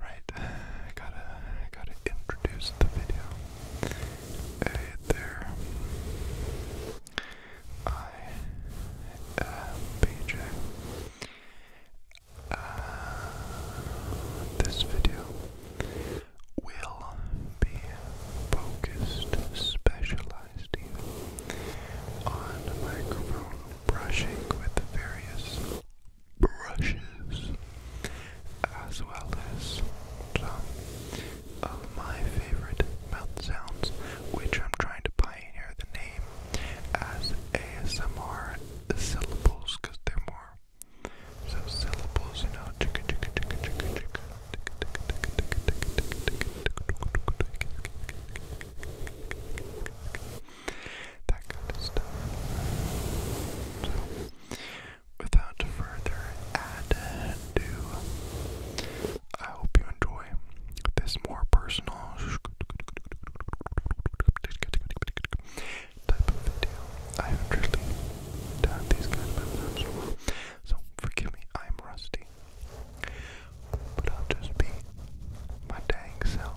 Right, uh, I gotta, I gotta introduce the video. Hey there, I am BJ. Uh, this video will be focused, specialized even, on microphone brushing with the various brushes, as well as some of my favorite mouth sounds, which I'm trying to pioneer the name as ASMR syllables because they're more so syllables, you know, That kind of stuff. without further ado, I hope you enjoy this more personal type of video. I haven't really done these kind of episodes so forgive me, I'm rusty. But I'll just be my dang self.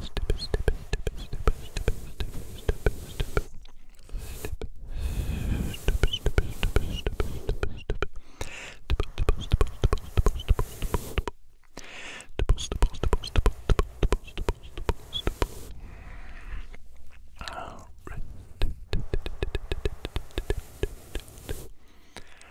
step, step, step, step, step, step, step, step. All right.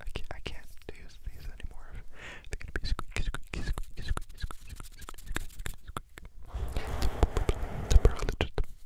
I can't, I can't use these anymore. They're gonna be squeaky, squeaky, squeaky, squeaky, squeaky, squeaky, squeaky, squeaky, squeaky.